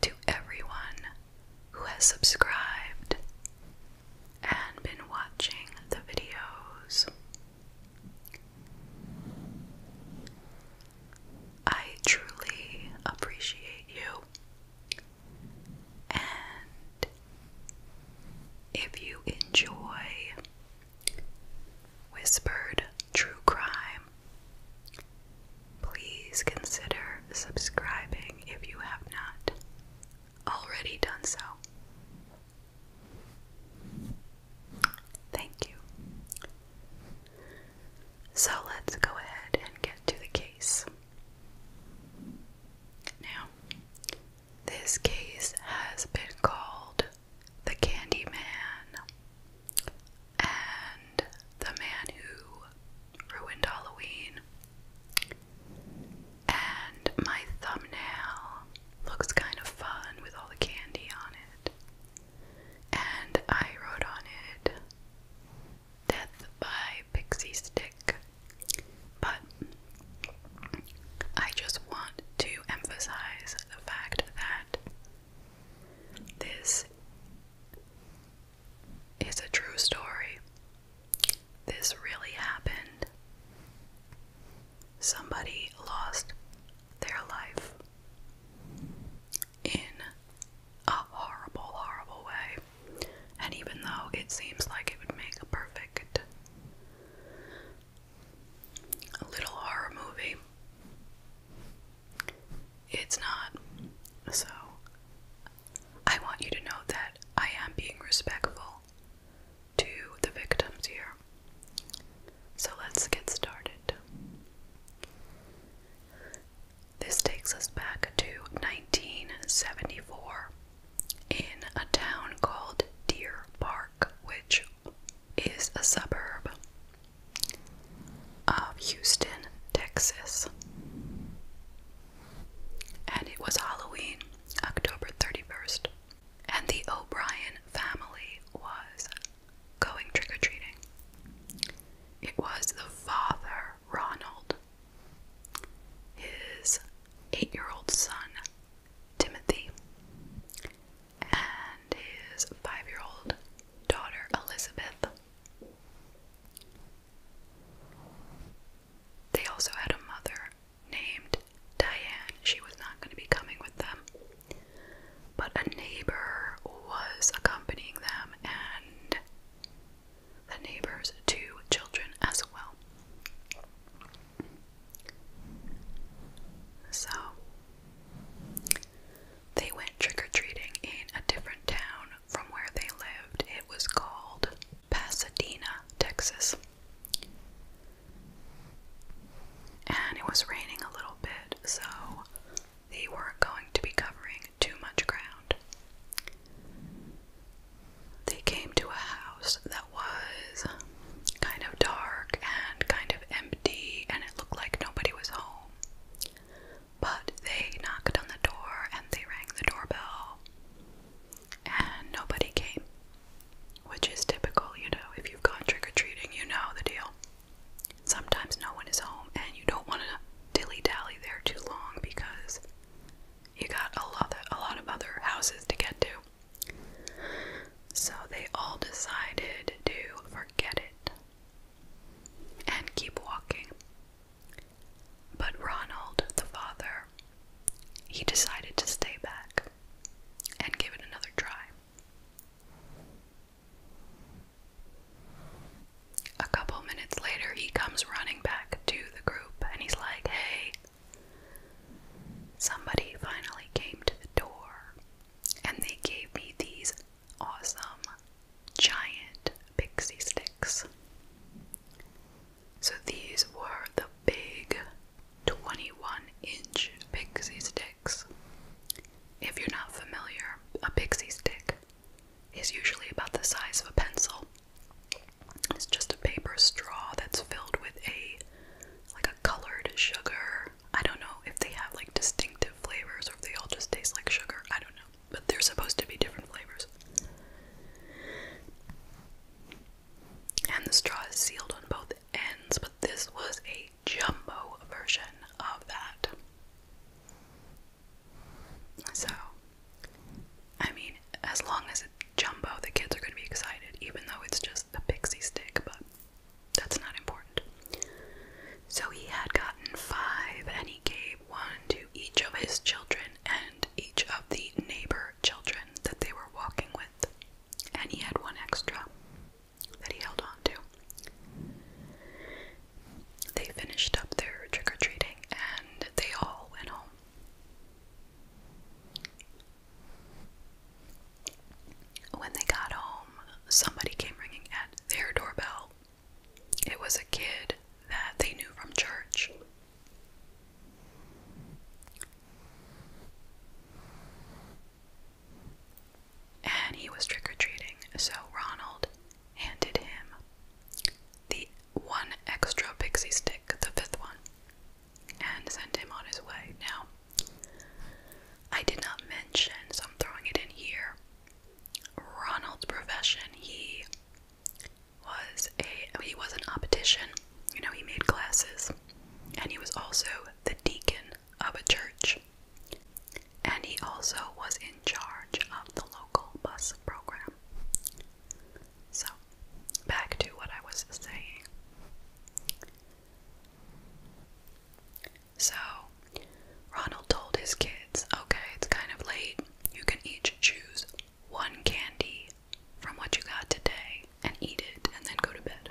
to everyone who has subscribed and been watching the videos. I truly appreciate you. And if you enjoy whispered true crime Please consider subscribing if you have not already done so. Thank you. So let's go ahead and get to the case. Now, this case has been called the Candy Man and the man who ruined Halloween. And my thumbnail looks kind of fun with all the candy on it. And I wrote on it Death by Pixie Stick. But I just want to emphasize the fact that this it's a true story. This really happened. Somebody lost their life in a horrible, horrible way. And even though it seems like it would make a perfect little horror movie, it's not. So, I want you to know that I am being respectful to the victims here. So, let's get started. This takes us back to 1974 in a town called Deer Park, which is a suburb of Houston, Texas. And it was Halloween, October 31st. And the O'Brien family was going trick or treating. It was the father, Ronald, his eight year old son, Timothy, and his five year old daughter, Elizabeth. They also had a mother named Diane. She was not going to be coming with them. But a neighbor was accompanying them and the neighbor's two children as well. So they went trick or treating in a different town from where they lived. It was called Pasadena, Texas. And it was raining a little bit, so they weren't going to be covering too much ground. They came to a house that was kind of dark and kind of empty, and it looked like nobody was home. But they knocked on the door and they rang the doorbell, and nobody came, which is typical, you know, if you've gone trick or treating, you know the deal. Sometimes no one is home, and you don't want to dilly dally there too long because you got a lot, of, a lot of other houses to get to. So they all decided to forget it and keep walking. But Ronald, the father, he decided to stay back and give it another try. A couple minutes later, he comes running back to the group and he's like, Hey, somebody finally came to the door and they gave me these awesome giant pixie sticks. So these were the big 21 inch pixie sticks. If you're not familiar, a pixie stick is usually about the size of a pencil. It's just a paper straw that's filled with a like a colored sugar. I don't know if they have like distinctive flavors or if they all just taste like sugar. I don't know. But they're supposed to be different flavors. And the straw is sealed on both ends, but this was a jumbo version of that. So, I mean, as long as it jumbo, the kids are going to be excited, even though it's just a pixie stick, but that's not important. So he had gotten five, and he gave one to each of his children and each of the neighbor children that they were walking with, and he had one extra that he held on to. They finished up their trick or treating and they all went home. When they got home, somebody came ringing at their doorbell it was a kid that they knew from church. And he was trick or treating, so Ronald handed him the one extra pixie stick, the fifth one, and sent him on his way. Now, I did not mention, so I'm throwing it in here, Ronald's profession, he was a he was an optician. You know, he made glasses, and he was also the deacon of a church. And he also was in charge of the local bus program. So, back to what I was saying. So Ronald told his kids, okay, it's kind of late. You can each choose one candy from what you got today and eat it and then go to bed.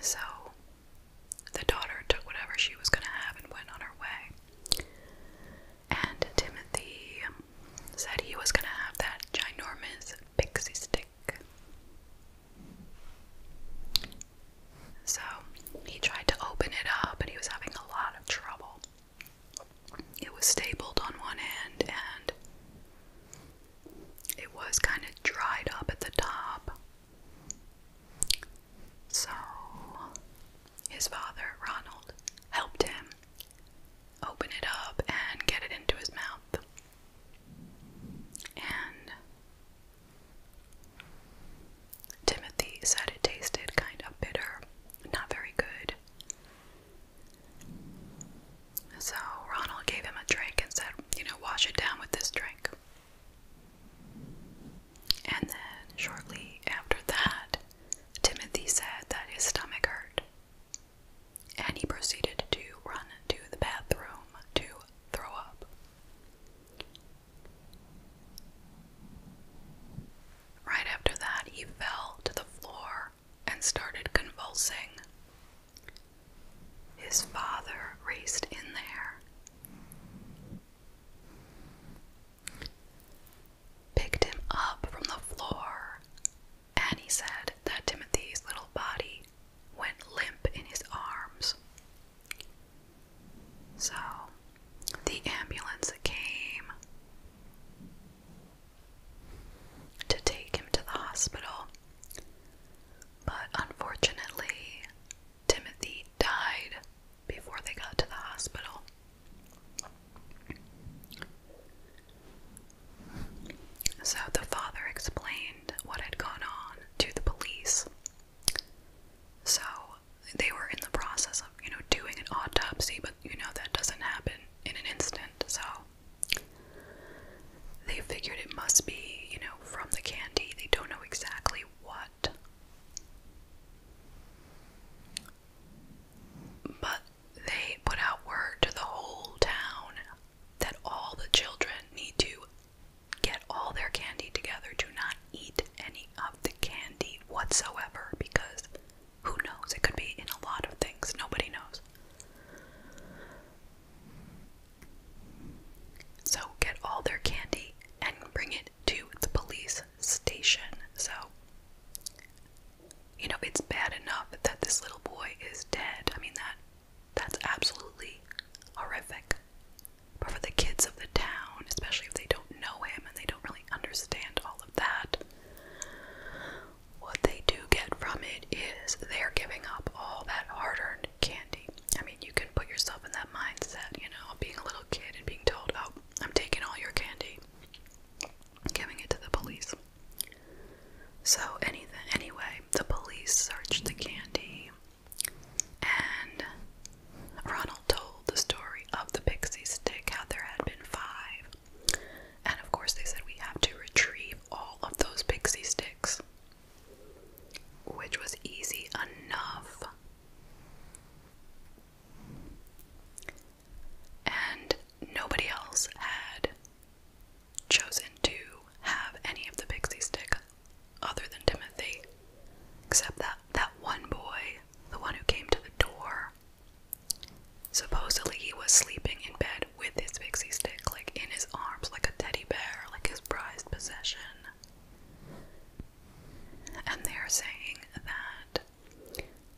So the daughter took whatever she was going to have and went on her way. And Timothy said he was going to have that ginormous pixie stick. So he tried to open it up, but he was having a lot of trouble. It was stapled on one end and it was kind of dried up at the top. So his father, Ronald, helped him open it up and get it into his mouth. And Timothy said it tasted kind of bitter, not very good. So Ronald gave him a drink and said, you know, wash it down with this drink. And then shortly after that, Timothy said that his stomach hurt and he proceeded to run to the bathroom to throw up. Right after that, he fell to the floor and started convulsing. His father raced in there, picked him up from the floor, and he said that Timothy's little body went limp in his arms. So the ambulance came to take him to the hospital, but unfortunately, Timothy died before they got to the hospital. So the father explained what had gone on to the police. So they were in the process of, you know, doing an autopsy, but you know that doesn't happen in an instant. So they figured it must be, you know, from the candy. They don't know exactly what. But they put out word to the whole town that all the children need to get all their candy together. Do not eat any of the candy whatsoever because who knows? It could be in a lot of things. Nobody knows. So get all their candy and bring it to the police station. So, you know, it's bad enough that this little boy is dead. I mean, that that's absolutely horrific. But for the kids of the town, especially if they don't know him and they don't really understand all of that, what they do get from it is they're giving up all that hard earned candy. I mean, you can put yourself in that mindset, you know, being a little kid and being told, oh, I'm taking all your candy, giving it to the police. So anyway, the police searched the candy and Ronald told the story of the pixie stick, how there had been five. And of course they said we have to retrieve all of those pixie sticks. Which was easy enough. And nobody else had chosen to have any of the pixie stick other than Timothy, except that that one boy, the one who came to the door, supposedly he was sleeping in bed with his pixie stick, like in his arms, like a teddy bear, like his prized possession. And they're saying that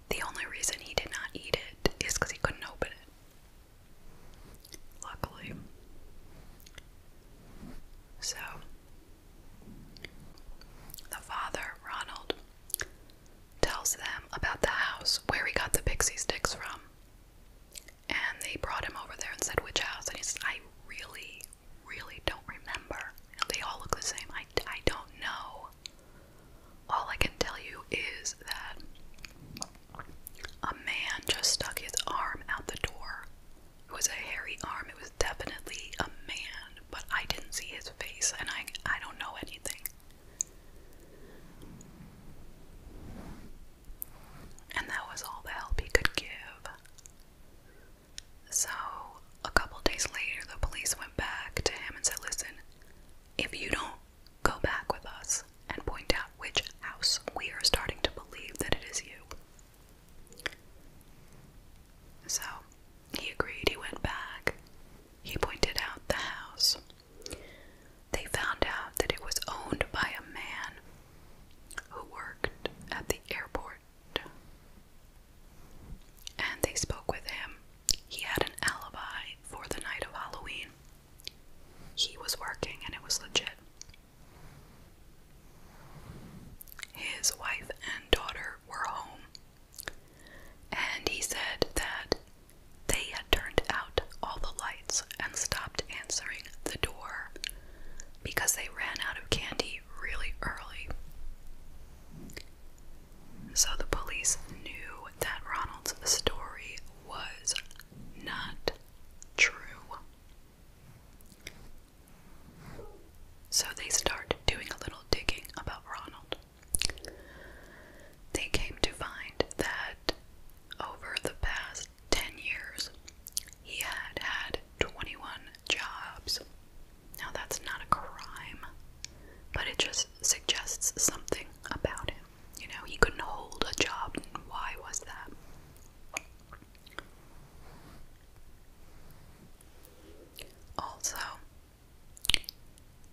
the only reason he did not eat it is because he couldn't open it. Luckily. So, the father, Ronald, tells them about the house where he got the pixie sticks from. And they brought him over there and said, Which house? And he said, I really, really don't remember. And they all look the same. I, I don't know. All I can tell you is that a man just stuck his arm out the door. It was a hairy arm. It was definitely a man, but I didn't see his face and I I don't know anything. And that was all the help he could give. So, a couple days later, the police went back to him and said, Listen, if you don't Go back with us and point out which house we are starting to believe that it is you. So he agreed, he went back, he pointed out the house. They found out that it was owned by a man who worked at the airport. And they spoke with him. He had an alibi for the night of Halloween he was working and it was legit. His wife and daughter were home, and he said that they had turned out all the lights and stopped answering the door because they ran out of candy really early. So the police knew that Ronald's story was not true. So they start doing a little digging about Ronald. They came to find that over the past 10 years, he had had 21 jobs. Now, that's not a crime, but it just suggests something about him. You know, he couldn't hold a job. Why was that? Also,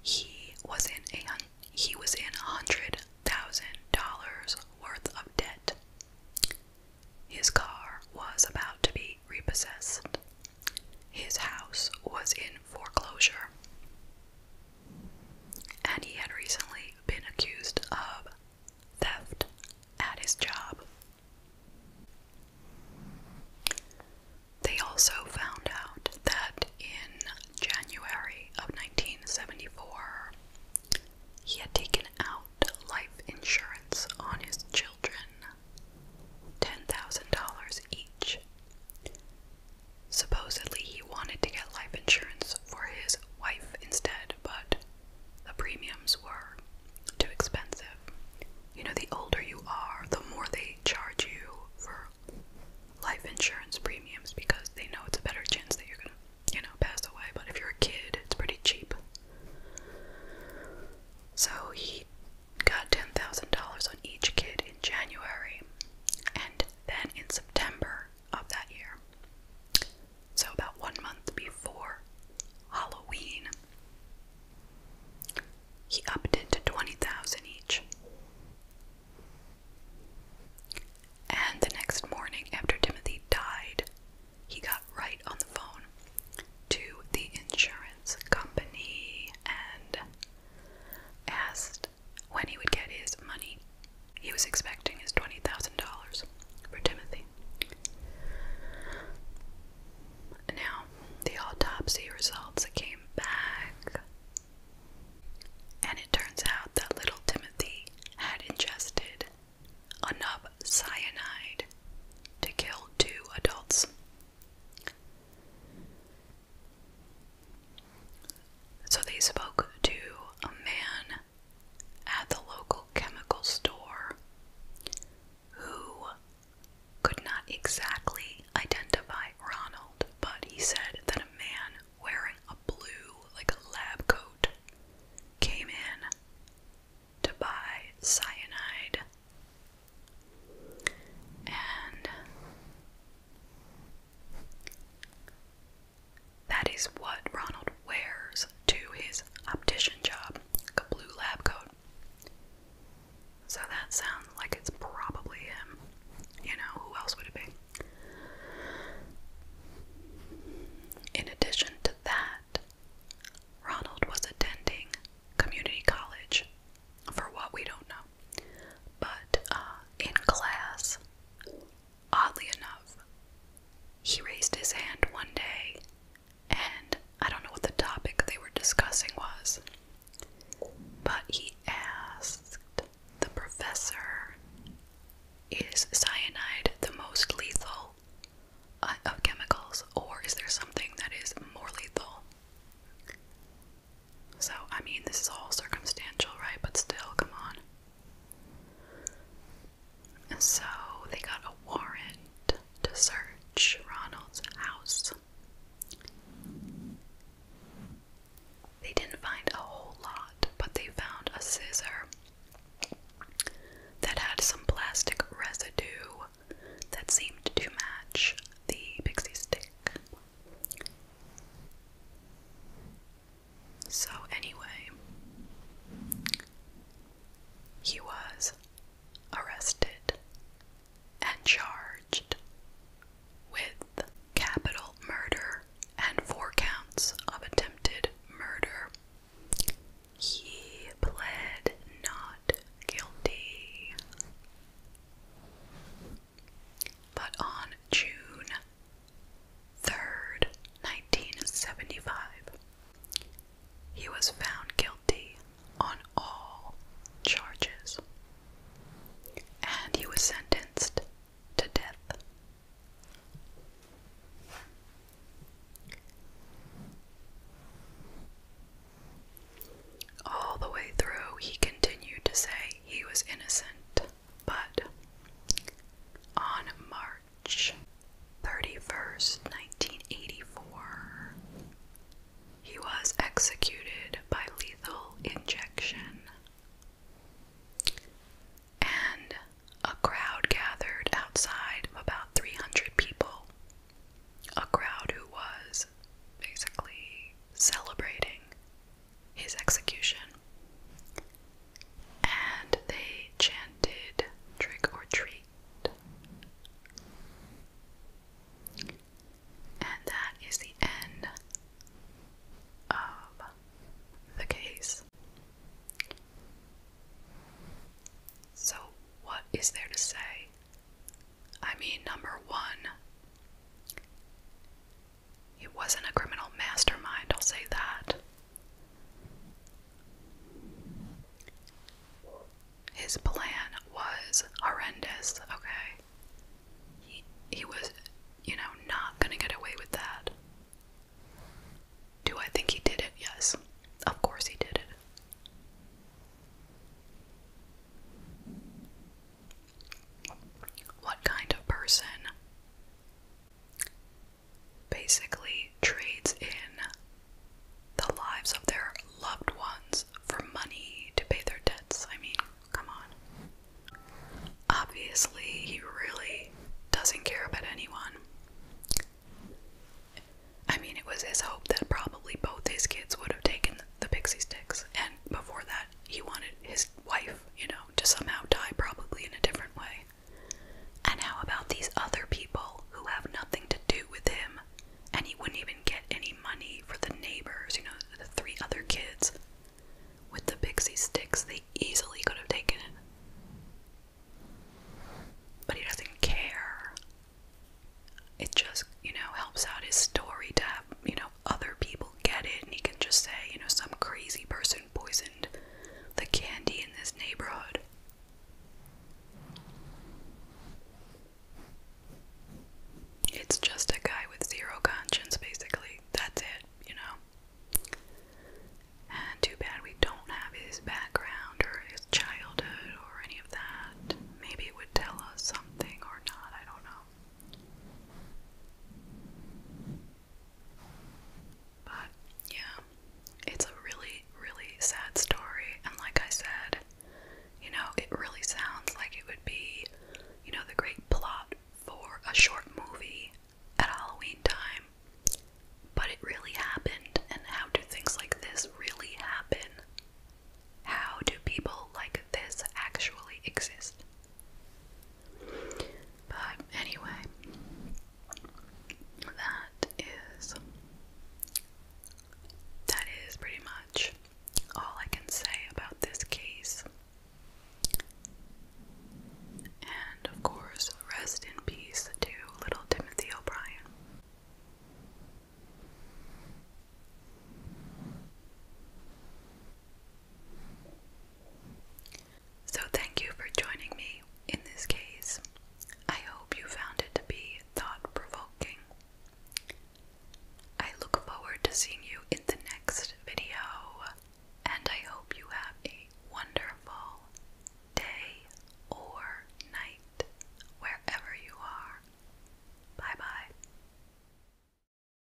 he was in a he was in hundred thousand dollars worth of debt. His car was about to be repossessed. His house was in foreclosure and he had recently been accused of theft at his job. They also found out that in January of 1974, he had taken out life insurance on his children, $10,000 each, Supposedly, he wanted to get life insurance for his wife instead, but the premiums were too expensive. You know, the older you are, the more they charge you for life insurance premiums because they know it's a better chance that you're gonna, you know, pass away. But if you're a kid, it's pretty cheap. So he got $10,000 on each kid in January, and then in September of that year. So, about one month before Halloween, he upped it to 20,000 each. And the next morning, after Timothy died, he got right on the phone to the insurance company and asked when he would get his money. He was expecting his $20,000 for Timothy. Now, the autopsy results came back, and it turns out that little Timothy had ingested enough cyanide to kill two adults. So they spoke to a man at the local chemical store who could not exactly identify Ronald, but he said that a man wearing a blue, like a lab coat, came in to buy cyanide. And that is what Ronald wears to his optician job, a blue lab coat. So that sounds like it's probably him. You know, who else would it be? In addition to that, Ronald was attending community college for what we don't know. But uh, in class, Oddly enough, he raised his hand one day, and I don't know what the topic they were discussing was, but he asked the professor, Is cyanide the most lethal uh, of chemicals, or is there something that is more lethal? So, I mean, this is all circumstantial, right? But still, come on. And so, they got a warrant to search Ronald's house. They didn't find a whole lot, but they found a scissor that had some plastic residue that seemed to match the pixie stick. So, anyway, he was arrested and charged with capital murder and four counts of attempted murder. He pled not guilty. But on June 3rd, 1975, he was found guilty on all charges and he was sentenced to death. All the way through, he continued to say he was innocent. But on March 31st, 1984, he was executed by lethal injection. And a crowd gathered outside of about 300 people. A crowd who was basically celebrating his execution. And they chanted trick or treat. And that is the end of the case. So, what is there to say? I mean, number one, he wasn't a criminal mastermind, I'll say that. His plan was horrendous, okay? He, he was, you know, not gonna get away with that. Do I think he did it? Yes. Of course he did it. What kind of person basically trades in the lives of their loved ones for money to pay their debts? I mean, come on. Obviously, he really doesn't care about anyone. I mean, it was his hope that probably both his kids would have taken the pixie sticks, and before that, he wanted his wife, you know, to somehow die probably in a different way. And how about these other people who have nothing to do with him and he wouldn't even get any money for the neighbors, you know, the three other kids? With the pixie sticks, they easily could have taken it. But he doesn't care. It just, you know, helps out his story to have, you know, other people get it, and he can just say, you know, some crazy person poisoned the candy in this neighborhood. It's just a guy with zero conscience, basically. That's it, you know? And too bad we don't have his background or his childhood or any of that. Maybe it would tell us something or not, I don't know. But yeah, it's a really, really sad story. And like I said, you know, it really sounds like it would be, you know, the great plot for a short movie at Halloween time. But it really happened. And how do things like this really happen? How do people like this actually exist? But anyway, that is that is pretty much all I can say about this case. And of course, rest in peace to little Timothy O'Brien. So, thank you for joining me in this case. I hope you found it to be thought provoking. I look forward to seeing you in the next video, and I hope you have a wonderful day or night wherever you are. Bye bye.